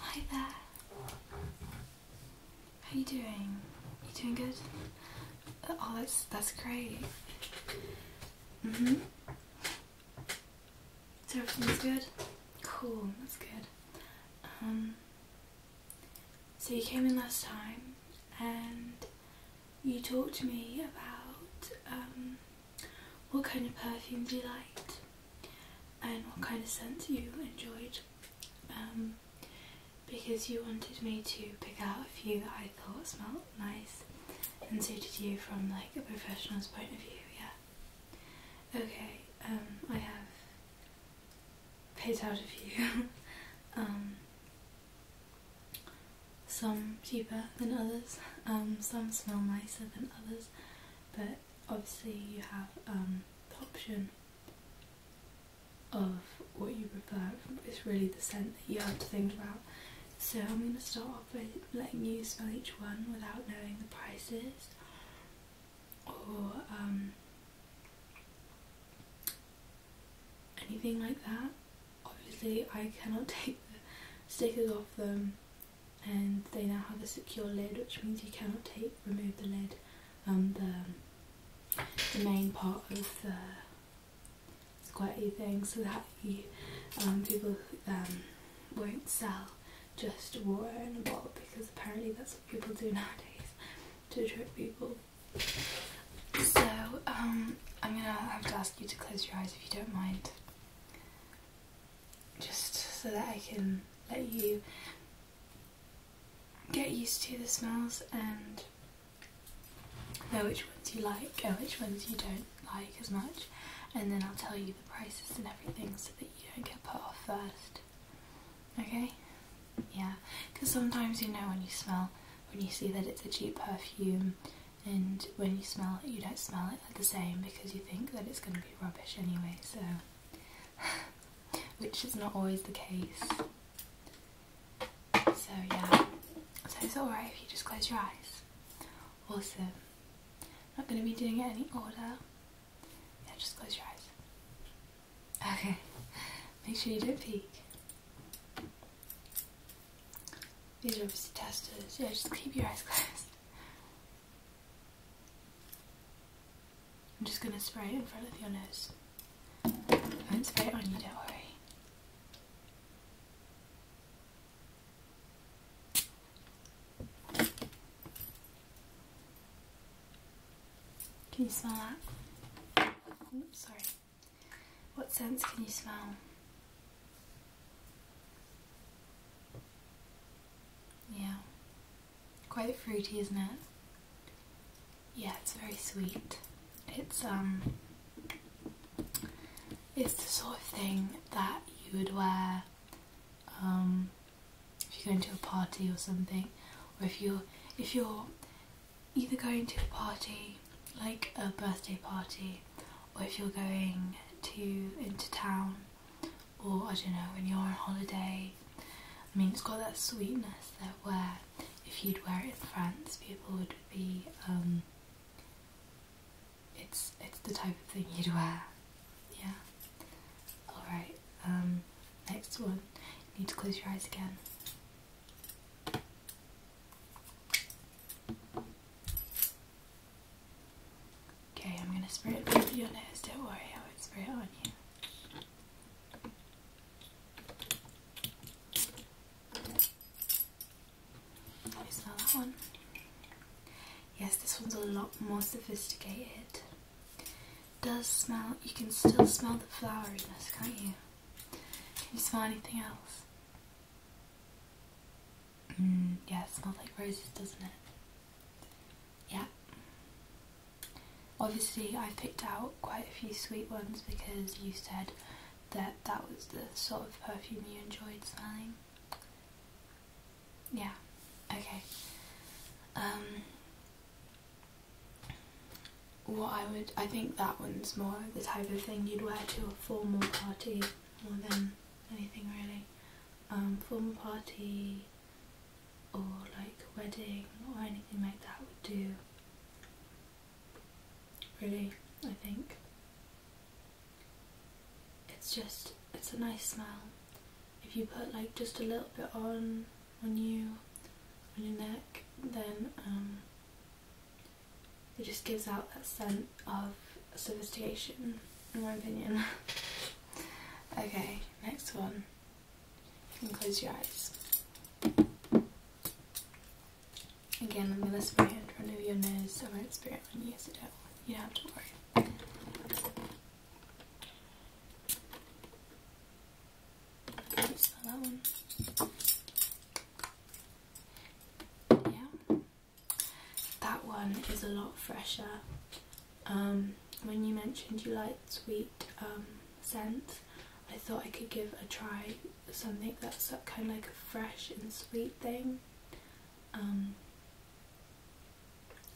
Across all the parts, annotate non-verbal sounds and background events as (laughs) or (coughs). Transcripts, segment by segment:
Hi there. How you doing? You doing good? Uh, oh, that's that's great. Mhm. Mm so everything's good. Cool. That's good. Um. So you came in last time, and you talked to me about um what kind of perfumes you liked and what kind of scents you enjoyed um, because you wanted me to pick out a few that I thought smelled nice and suited you from like a professional's point of view, yeah. Okay, um, I have picked out a few. (laughs) Um, some cheaper than others, some smell nicer than others, but obviously you have um, the option of what you prefer. It's really the scent that you have to think about. So I'm going to start off with letting you smell each one without knowing the prices or um, anything like that. Obviously I cannot (laughs) take the stickers off them and they now have a secure lid which means you cannot take remove the lid um, the, the main part of the squirty thing so that um, people um, won't sell just water in a bottle because apparently that's what people do (laughs) nowadays to trick people. So um, I'm gonna have to ask you to close your eyes if you don't mind just so that I can let you get used to the smells and know which ones you like and which ones you don't like as much and then I'll tell you the prices and everything so that you don't get put off first okay yeah because sometimes you know when you smell when you see that it's a cheap perfume and when you smell it you don't smell it the same because you think that it's going to rubbish anyway, so (laughs) which is not always the case. So yeah, so it's alright if you just close your eyes. Awesome. not going to be doing it any order. Yeah, just close your eyes. Okay, (laughs) make sure you don't peek. These are obviously testers. Yeah, just keep your eyes (laughs) closed. I'm just going to spray it in front of your nose. I won't spray it on you, don't worry. Can you smell that? Oops, sorry. What sense can you smell? Yeah. Quite fruity, isn't it? Yeah, it's very sweet. It's um it's the sort of thing that you would wear um if you're going to a party or something or if you're if you're either going to a party like a birthday party or if you're going to into town or I don't know when you're on holiday. I mean, it's got that sweetness that where if you'd wear it in France, people would be. Um, it's it's the type of thing you'd wear. Yeah. All right. Um, next one. You need to close your eyes again. Okay, I'm gonna spray it with your nose. Don't worry, I won't spray it on you. smell that one? Yes, this one's a lot more sophisticated. It does smell, you can still smell the floweriness, can't you? Can you smell anything else? Mm, yeah, it smells like roses, doesn't it? Yeah. Obviously, I picked out quite a few sweet ones because you said that that was the sort of perfume you enjoyed smelling. Yeah, okay. Um, what I would, I think that one's more the type of thing you'd wear to a formal party more than anything really um, formal party or like wedding or anything like that would do. Really, I think. It's just, it's a nice smell. If you put like just a little bit on, on you, on your neck, then um, it just gives out that scent of sophistication, in my opinion. (laughs) okay, next one. You can close your eyes. Again, I'm going to spray in front your nose. I won't spray it on you, so do you don't have to worry. Smell that one. Yeah. That one is a lot fresher. Um, when you mentioned you like sweet um, scents, I thought I could give a try something that's kind of like a fresh and sweet thing. Um,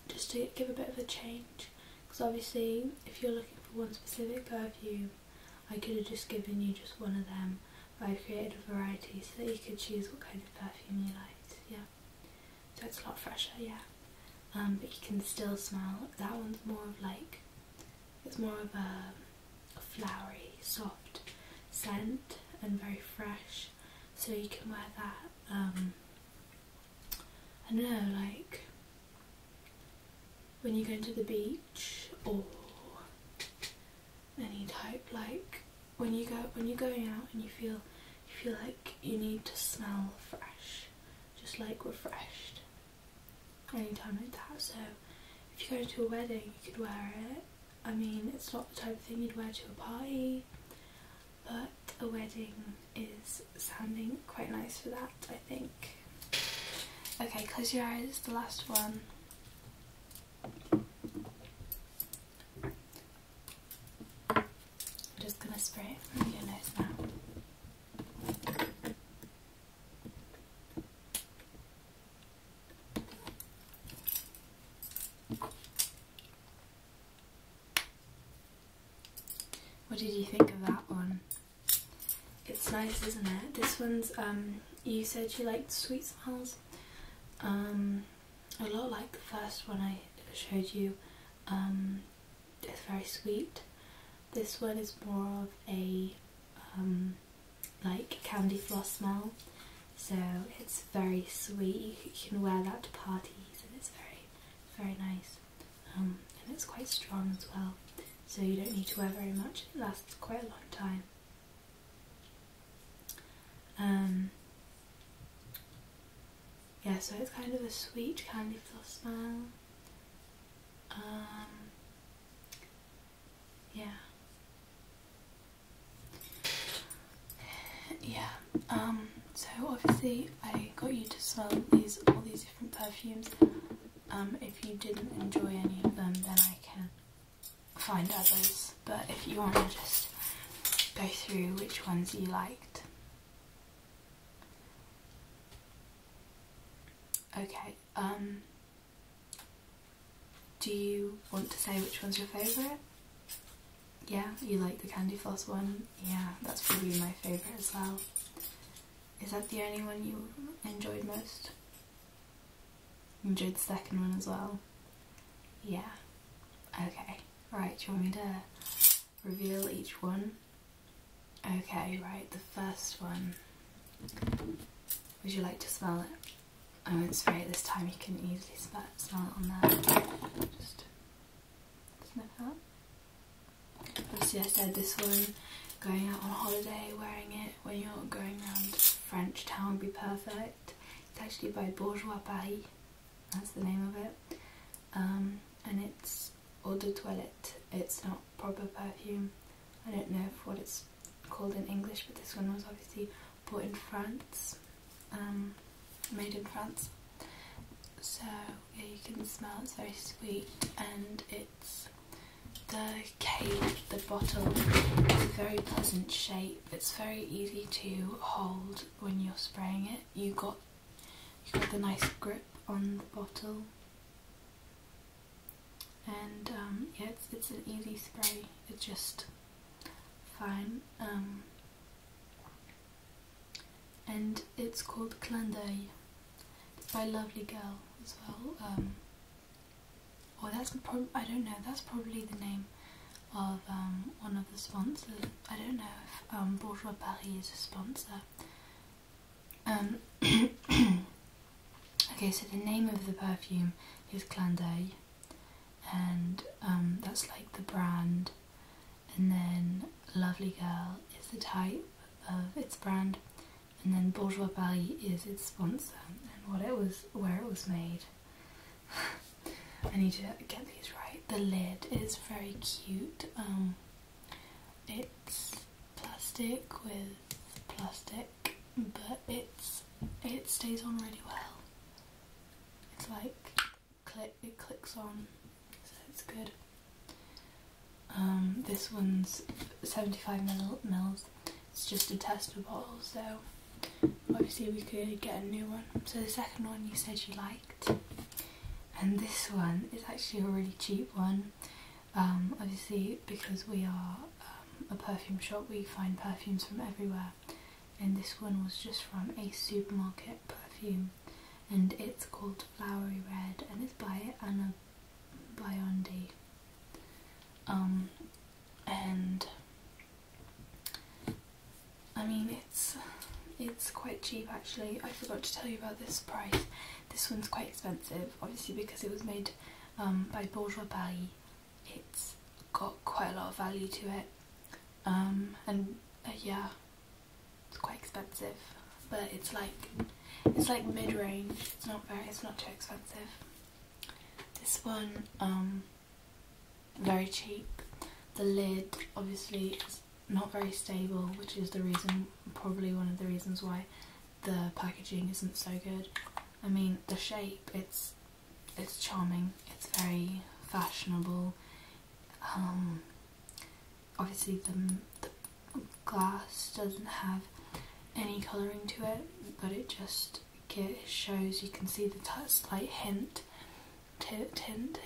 just to give a bit of a change. Because obviously, if you're looking for one specific perfume, I could have just given you just one of them. But i created a variety so that you could choose what kind of perfume you like yeah. So it's a lot fresher, yeah. Um, but you can still smell that one's more of like it's more of a, flowery, soft scent and very fresh. So you can wear that. Um, I don't know, like when you go into the beach or any type like when you go when you're going out and you feel you feel like you need to smell fresh just like refreshed anytime like that so if you're going to a wedding you could wear it I mean it's not the type of thing you'd wear to a party but a wedding is sounding quite nice for that I think okay close your eyes the last one I'm just going to spray it from your nose now. What did you think of that one? It's nice, isn't it? This one's, um, you said you liked sweet smells. Um, a lot like the first one I showed you. Um, it's very sweet. This one is more of a um, like candy floss smell, so it's very sweet. You can wear that to parties, and it's very, very nice. Um, and it's quite strong as well, so you don't need to wear very much. It lasts quite a long time. Um, yeah, so it's kind of a sweet candy floss smell. yeah. Yeah, um, so obviously I got you to smell these all these different perfumes. Um, if you didn't enjoy any of them, then I can find others, but if you want to just go through which ones you liked. Okay, um, do you want to say which one's your favourite? Yeah, you like the candy floss one? Yeah, that's probably my favourite as well. Is that the only one you enjoyed most? Enjoyed the second one as well. Yeah. Okay. Right, do you want me to reveal each one? Okay, right, the first one. Would you like to smell it? I am going to spray it this time, you can easily smell it on that. Just sniff that. Obviously I said this one, going out on holiday, wearing it when you're going around French town be perfect it's actually by Bourgeois Paris, that's the name of it. Um, and it's eau de toilette, it's not proper perfume. I don't know what it's called in English, but this one was obviously bought in France, um, made in France. So yeah, you can smell it's very sweet, and it's the cave, the bottle, is a very pleasant shape it's very easy to hold when you're spraying it. You got you got the nice grip on the bottle, and um, yeah, it's it's an easy spray. It's just fine, um, and it's called Clanday. It's by Lovely Girl as well. Um, or that's I don't know, that's probably the name of um, one of the sponsors. I don't know if um, Bourgeois Paris is a sponsor. Um, (coughs) okay, so the name of the perfume is Clin and that's like the brand, and then Lovely Girl is the type of its brand, and then Bourgeois Paris is its sponsor and what it was, where it was made. I need to get these right. The lid is very cute. Um, it's plastic with plastic, but it's it stays on really well. It's like click it clicks on, so it's good. Um, this one's 75 mils, it's just a tester bottle so obviously we could get a new one. So the second one you said you liked and this one is actually a really cheap one um, obviously because we are um, a perfume shop we find perfumes from everywhere and this one was just from a supermarket perfume and it's called Flowery Red and it's by Anna Biondi um, and I mean it's it's quite cheap actually. I forgot to tell you about this price. This one's quite expensive, obviously because it was made um, by Bourgeois Paris. It's got quite a lot of value to it, um, and uh, yeah, it's quite expensive. But it's like it's like mid range. It's not very. It's not too expensive. This one, um, very cheap. The lid obviously is not very stable, which is the reason, probably one of the reasons why the packaging isn't so good. I mean, the shape, it's it's charming, it's very fashionable. Um, obviously the glass doesn't have any colouring to it, but it just it shows you can see the slight hint, hint, hint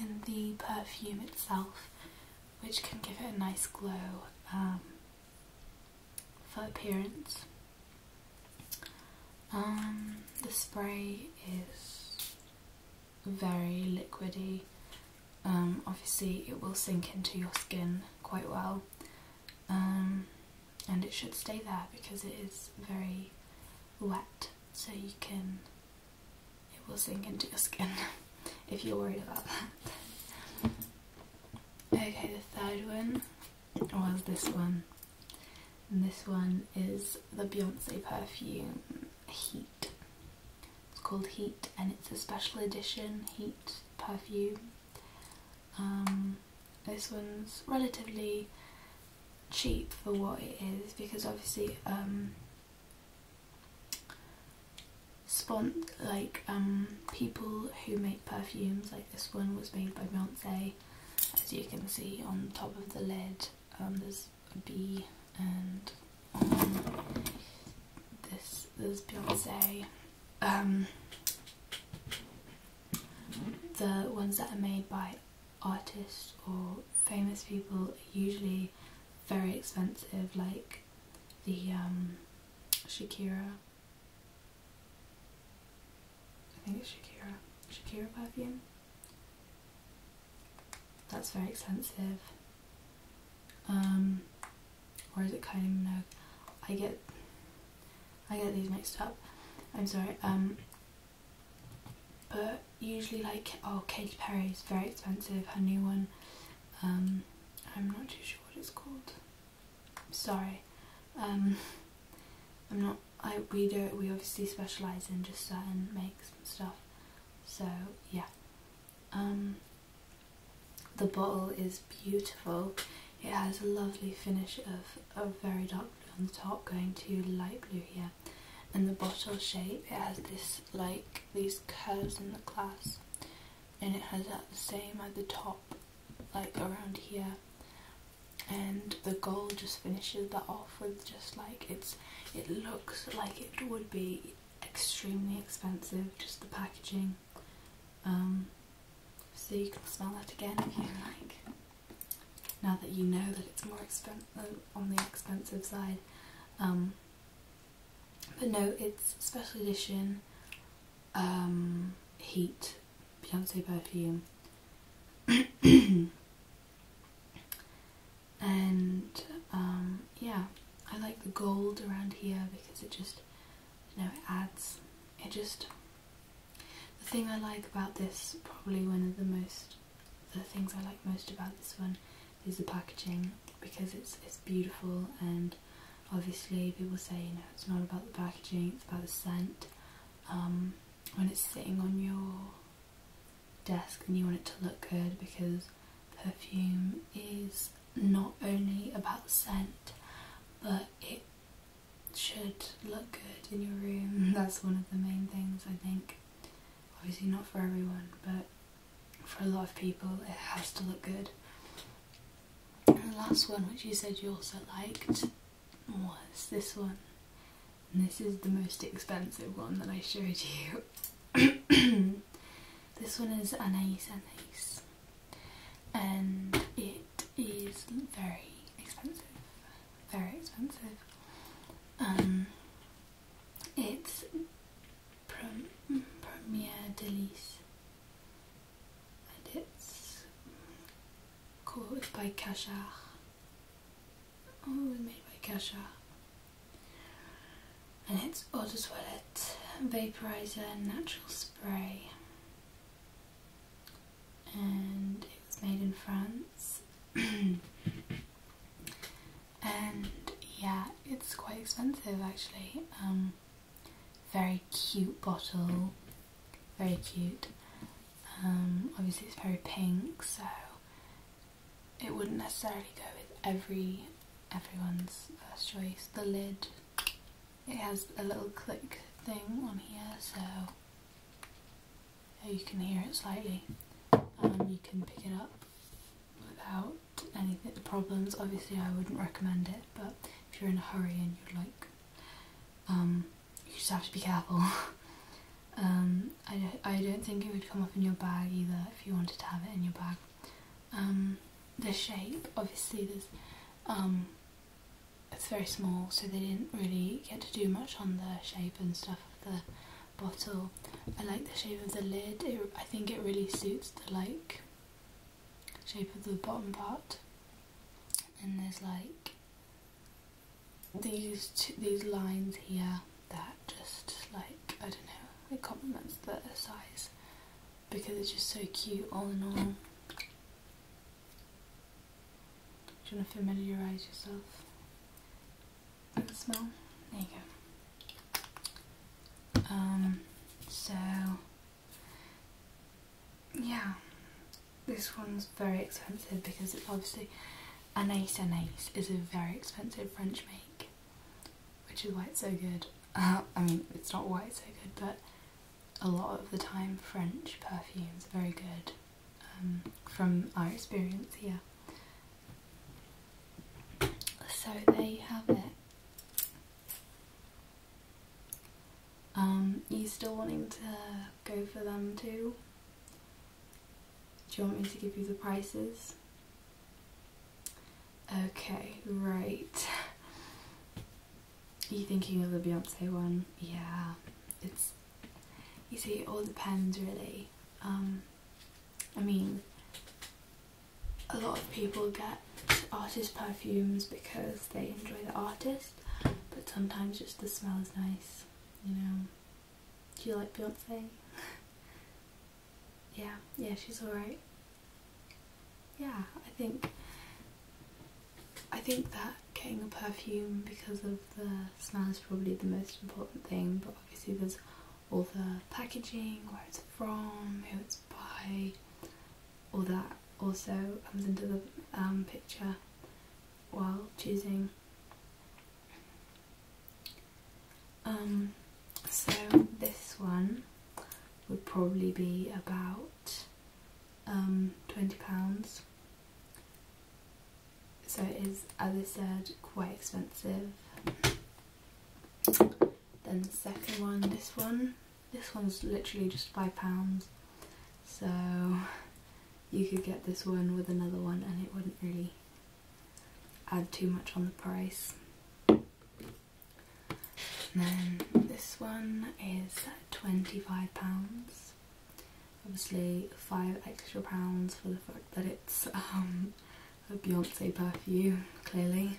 in the perfume itself, which can give it a nice glow um, for appearance. Um, the spray is very liquidy. Um, obviously, it will sink into your skin quite well and it should stay there because it is very wet so you can it will sink into your skin (laughs) if you're worried about that okay the third one was this one and this one is the Beyonce perfume Heat it's called Heat and it's a special edition Heat perfume um, this one's relatively cheap for what it is because obviously um, like um, people who make perfumes like this one was made by Beyonce as you can see on top of the lid there's a B, and on this there's Beyonce the ones that are made by artists or famous people are usually very expensive, like the um, Shakira. I think it's Shakira. Shakira perfume. That's very expensive. Um, or is it kind of? I get I get these mixed up. I'm sorry. Um, but usually like oh Katy Perry is very expensive. Her new one. Um, I'm not too sure what it's called. sorry. Um, I'm not. I we do we obviously specialize in just certain makes and stuff. So yeah. Um, the bottle is beautiful. It has a lovely finish of a very dark blue on the top going to light blue here. And the bottle shape, it has this like these curves in the clasp and it has that same at the top like around here and the gold just finishes that off with just like it's it looks like it would be extremely expensive just the packaging um, so you can smell that again if you like. Now that you know that it's more expensive um, on the expensive side. Um, but no, it's special edition um, Heat Beyonce perfume. (coughs) and um, yeah, I like the gold around here because it just you know, it adds, it just, the thing I like about this, probably one of the most, the things I like most about this one is the packaging because it's, it's beautiful and obviously people say, you know, it's not about the packaging, it's about the scent. Um, when it's sitting on your desk and you want it to look good because perfume is not only about scent but it should look good in your room. (laughs) That's one of the main things I think. Obviously not for everyone, but for a lot of people it has to look good. the last one which you said you also liked was this one. this is the most expensive one that I showed you. (coughs) this one is Anais Anais and it is very expensive. Very expensive. Um, it's Prem Premier Delice, and it's called by Cachard. Oh, it was made by Cachard, and it's eau de toilette vaporizer natural spray and it was made in France. (clears throat) and yeah, it's quite expensive actually. Um, very cute bottle, very cute. Um, obviously, it's very pink, so it wouldn't necessarily go with every everyone's first choice. The lid it has a little click thing on here so you can hear it slightly and um, you can pick it up without any problems. Obviously I wouldn't recommend it but if you're in a hurry and you're like um, you just have to be careful. (laughs) Um, I, I don't think it would come off in your bag either if you wanted to have it in your bag um, the shape. Obviously, there's um, it's very small, so they didn't really get to do much on the shape and stuff of the bottle. I like the shape of the lid. It, I think it really suits the like shape of the bottom part. And there's like these these lines here that just like I don't know it complements the size because it's just so cute all in all. Do you want to familiarise yourself with the smell? There you go. Um, so, yeah, this one's very expensive because it's obviously Anais Anais is a very expensive French make which is why it's so good. (laughs) I mean, it's not why it's so good, but a lot of the time French perfumes are very good um, from our experience here. So there you have it. Um, you still wanting to go for them too? Do you want me to give you the prices? Okay, right. Are you thinking of the Beyonce one? Yeah, it's. You see, it all depends really. Um, I mean, a lot of people get artist perfumes because they enjoy the artist, but sometimes just the smell is nice, you know. Do you like Beyonce? (laughs) yeah, yeah, she's alright yeah, I think I think that getting a perfume because of the smell is probably the most important thing, but obviously there's all the packaging, where it's from, who it's by, all that also comes into the um, picture while choosing. Um, so this one would probably be about um, £20. So it is, as I said, quite expensive. Then the second one, this one, this one's literally just £5. So you could get this one with another one and it wouldn't really add too much on the price. And then this one is £25. Obviously five extra pounds for the fact that it's um, a Beyonce perfume, clearly.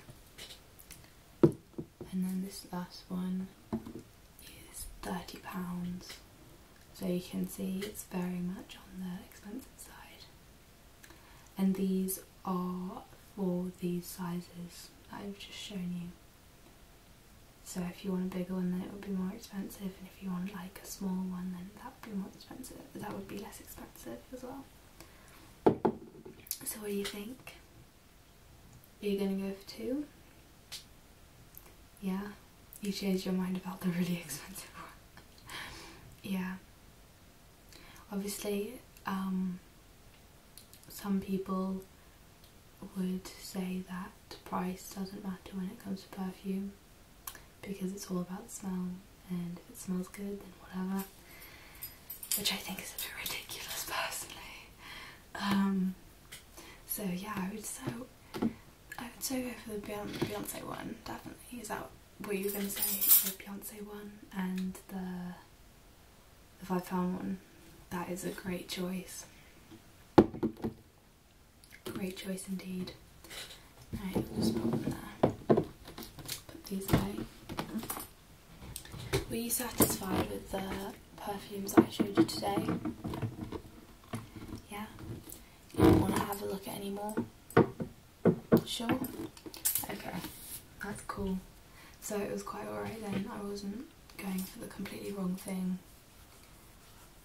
And then this last one is £30. So you can see it's very much on the expensive side and these are for these sizes I've just shown you. So if you want a bigger one then it would be more expensive and if you want like a small one then that would be more expensive. That would be less expensive as well. So what do you think? Are you going to go for two? Yeah? You changed your mind about the really (laughs) expensive one. yeah. Obviously, um, some people would say that price doesn't matter when it comes to perfume because it's all about smell and if it smells good then whatever which I think is a bit ridiculous personally um, so yeah I would so I would so go for the Beyonce one definitely is that what you were going to say the Beyonce one and the if I found one, that is a great choice. Great choice indeed. I'll just put them Put these away. Were you satisfied with the perfumes I showed you today? Yeah? You don't want to have a look at any more? Sure? Okay, that's cool. So it was quite alright then, I wasn't going for the completely wrong thing.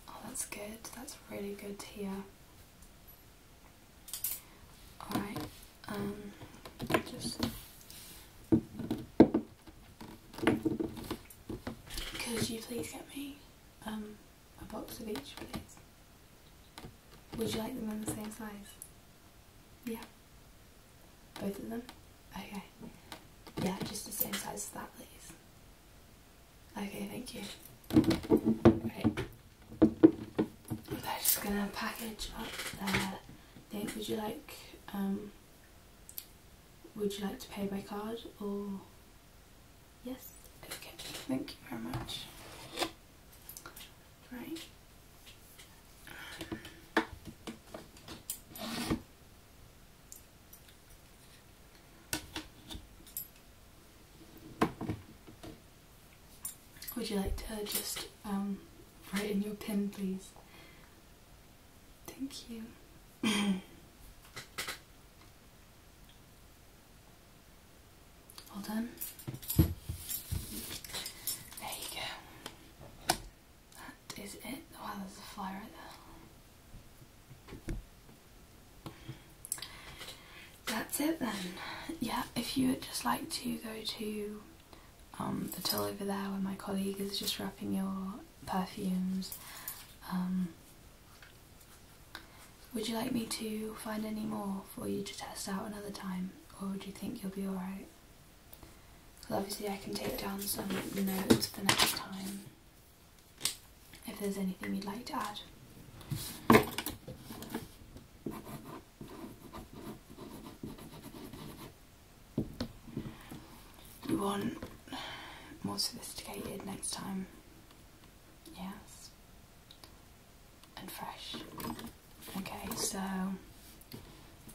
Oh, that's good, that's really good here. Alright, um, just... Could you please get me um, a box of each, please? Would you like them in the same size? Yeah. Both of them? Okay. Yeah, just the same size as that, please. Okay, thank you. Right. They're just gonna package up their thing. Would you like, um, would you like to pay by card or... Yes? Okay, thank you very much right? Would you like to just um, write in your pen, please? Thank you. (clears throat) Hold done. There you go. That is it. Wow, there's a fly right there. That's it then. Yeah, if you would just like to go to um, the till over there where my colleague is just wrapping your perfumes. Um, would you like me to find any more for you to test out another time? or do you think you'll be alright? Because obviously I can take down some notes for next time if there's anything you'd like to add. You want more sophisticated next time, yes, and fresh. Okay, so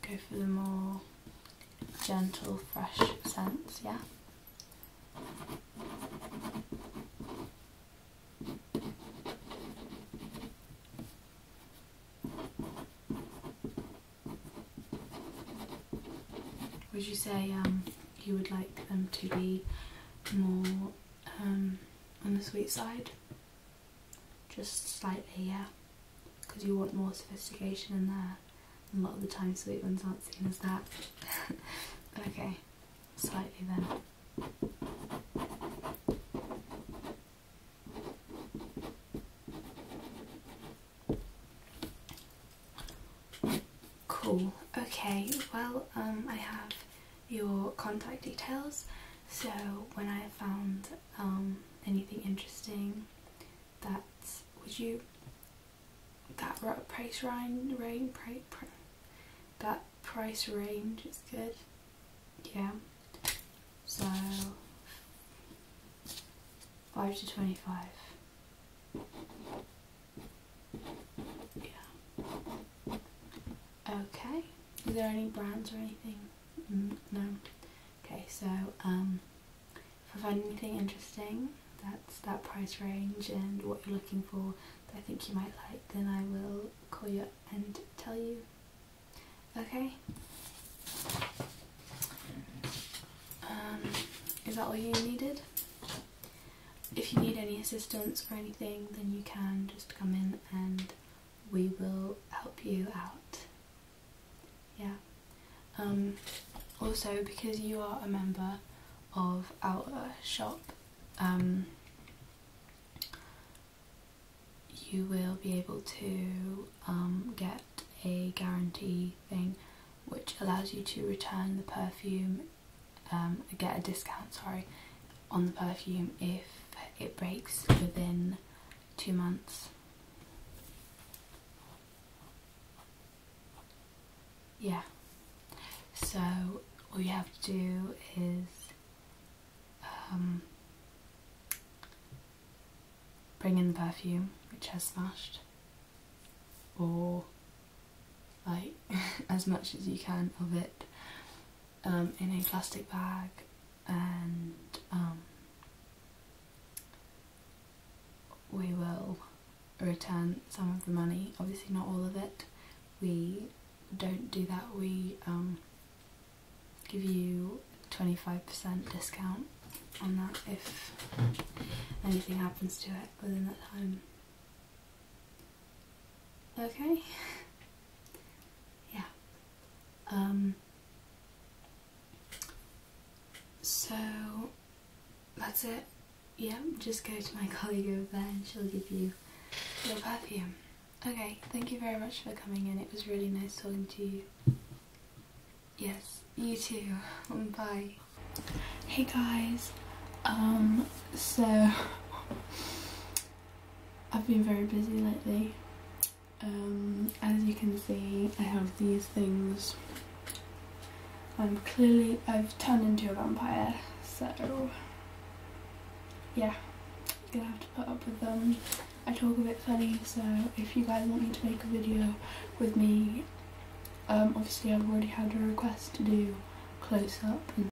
go for the more gentle, fresh scents, yeah? Would you say um, you would like them to be more um, on the sweet side? just slightly, yeah, because you want more sophistication in there. a lot of the time, sweet ones aren't seen as that. (laughs) okay, slightly then. Cool. Okay, well, um, I have your contact details so when I found um, anything interesting that would you that price range, range price, that price range is good yeah so 5 to 25 yeah Okay. Is there any brands or anything? Mm, no. Okay, so um, if I find anything interesting that's that price range and what you're looking for that I think you might like, then I will call you and tell you. Okay? Um, is that all you needed? If you need any assistance or anything, then you can just come in and we will help you out. Yeah. Um, also, because you are a member of our shop, um, you will be able to um, get a guarantee thing which allows you to return the perfume, get a discount, sorry, on the perfume if it breaks within two months. Yeah, so all you have to do is um, bring in the perfume which has smashed or like (laughs) as much as you can of it um, in a plastic bag and um, we will return some of the money, obviously not all of it. We don't do that, we um, give you 25% discount on that if anything happens to it within that time. Okay. yeah. Um, so that's it. Yeah, just go to my (laughs) colleague over there and she'll give you your perfume. Okay, thank you very much for coming in. It was really nice talking to you. Yes, you too. (laughs) Bye. Hey guys. Um, so I've been very busy lately. Um, as you can see, I have these things. I'm clearly, I've turned into a vampire, so yeah, gonna have to put up with them. Um, I talk a bit funny, so if you guys want me to make a video with me, um, obviously I've already had a request to do close up